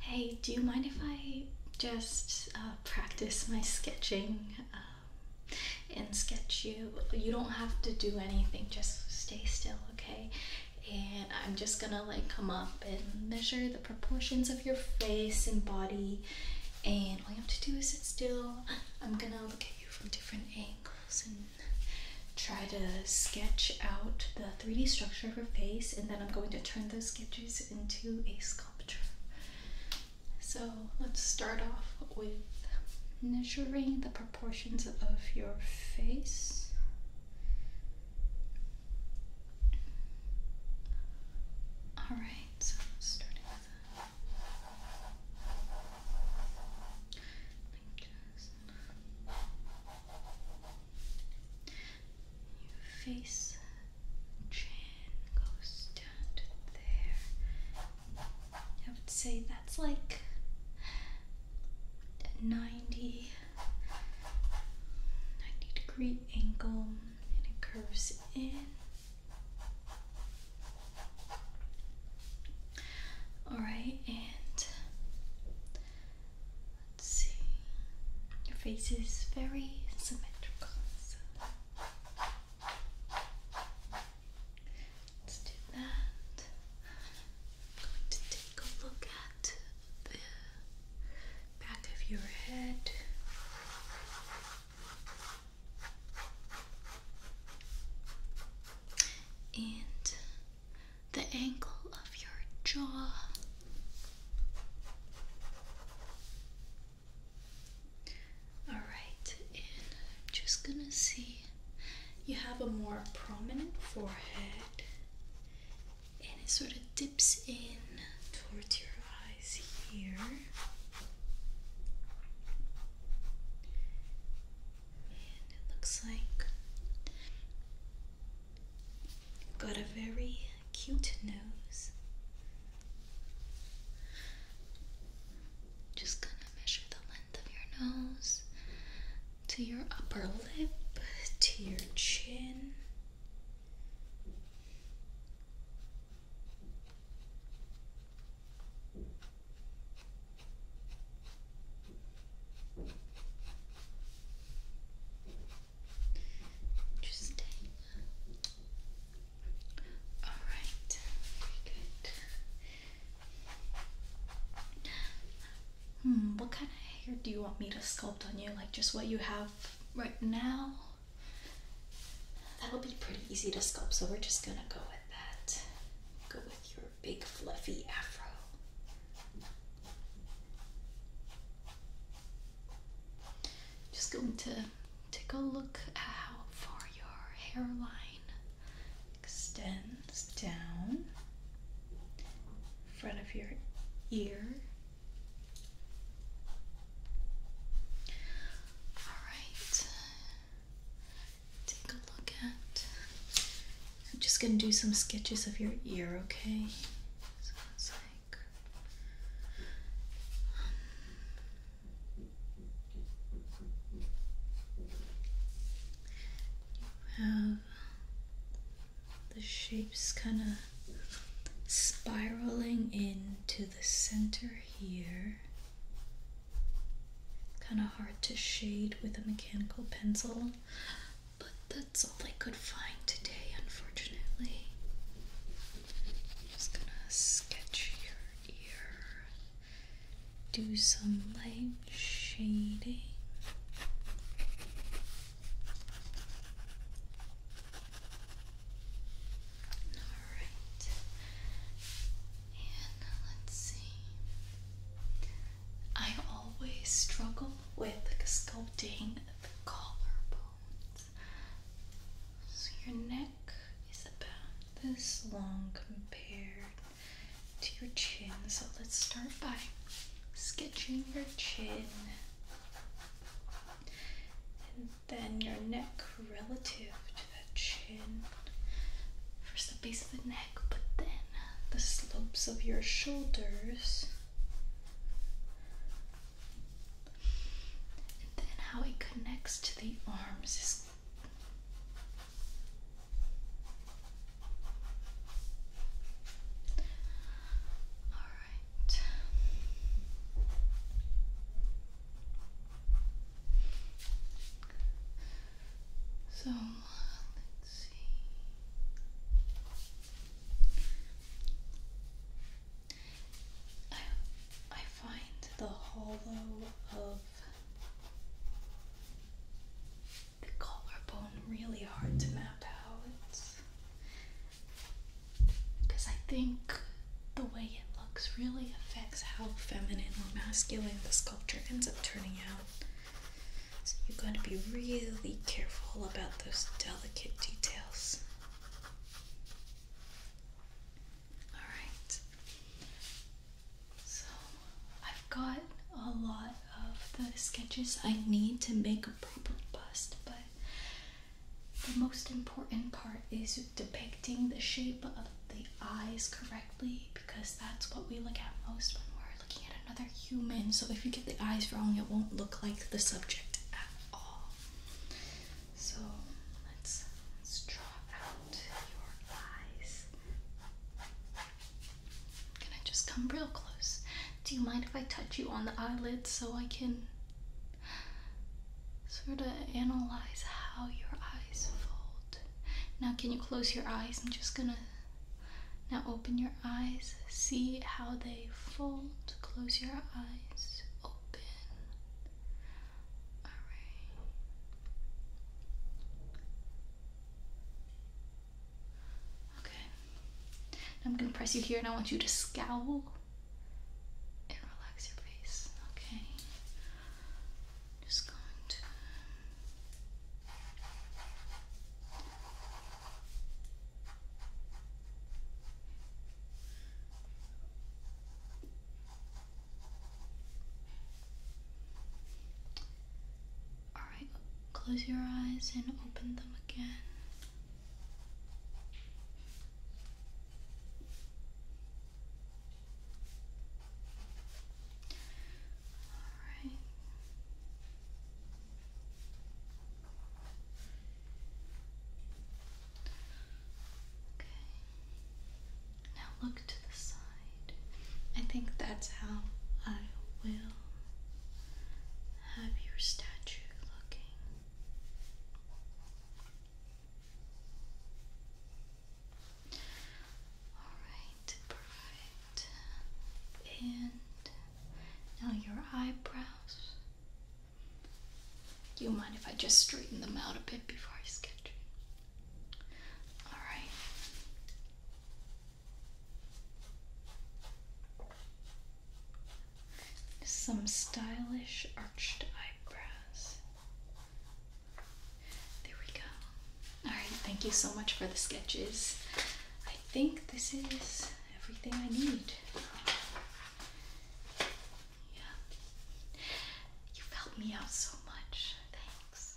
Hey, do you mind if I just uh, practice my sketching um, and sketch you? You don't have to do anything, just stay still, okay? And I'm just gonna like come up and measure the proportions of your face and body, and all you have to do is sit still. I'm gonna look at you from different angles and try to sketch out the 3D structure of her face, and then I'm going to turn those sketches into a sculpture. So let's start off with measuring the proportions of your face. All right, your face, chin goes down there. I would say that's like 90, 90 degree angle and it curves in. Alright, and Let's see. Your face is very symmetrical. Let's do that. I'm going to take a look at the back of your head. And the angle of your jaw. All right, and I'm just gonna see you have a more prominent forehead and it sort of dips in towards your eyes here it looks like got a very cute nose. Just gonna measure the length of your nose to your upper lip, to your chin. Interesting. All right, very good. Hmm, what kind of hair do you want me to sculpt on you? Like just what you have right now? That'll be pretty easy to sculpt, so we're just gonna go with. Go with your big fluffy afro. Just going to take a look at how far your hairline extends down in front of your ear. All right, take a look at. I'm just going to do some sketches of your ear, okay? So it's like. Um, you have the shapes kind of spiraling into the center here. Kind of hard to shade with a mechanical pencil, but that's all I could find today, unfortunately. just gonna sketch your ear, do some light shading. Alright. And let's see. I always struggle with sculpting the collarbones. So your neck is about this long compared to your chin. So let's start by sketching your chin then your neck relative to that chin. First the base of the neck, but then the slopes of your shoulders. And then how it connects to the arms is so let's see. I I find the hollow of the collarbone really hard to map out. Because I think the way it looks really affects how feminine or masculine the sculpture ends up turning out. So you've got to be really careful about those delicate details. Alright. So I've got a lot of the sketches I need to make a proper bust, but the most important part is depicting the shape of the eyes correctly because that's what we look at most when we're looking at another human. So if you get the eyes wrong, it won't look like the subject at all. So let's let's draw out your eyes. i just come real close. Do you mind if I touch you on the eyelids so I can sort of analyze how your eyes fold? Now, can you close your eyes? I'm just gonna now open your eyes, see how they fold. Close your eyes, open. All right. Okay. I'm going to press you here and I want you to scowl and relax your face. Okay. Just going to. Alright, close your eyes and open them again. Alright. Okay. Now look to the side. I think that's how I will have your statue looking. Alright, perfect. And now your eyebrows. Do you mind if I just straighten them out a bit before I sketch? Alright. Some stylish arched eyebrows. There we go. Alright, thank you so much for the sketches. I think this is everything I need. Yeah. You've helped me out so much. Thanks.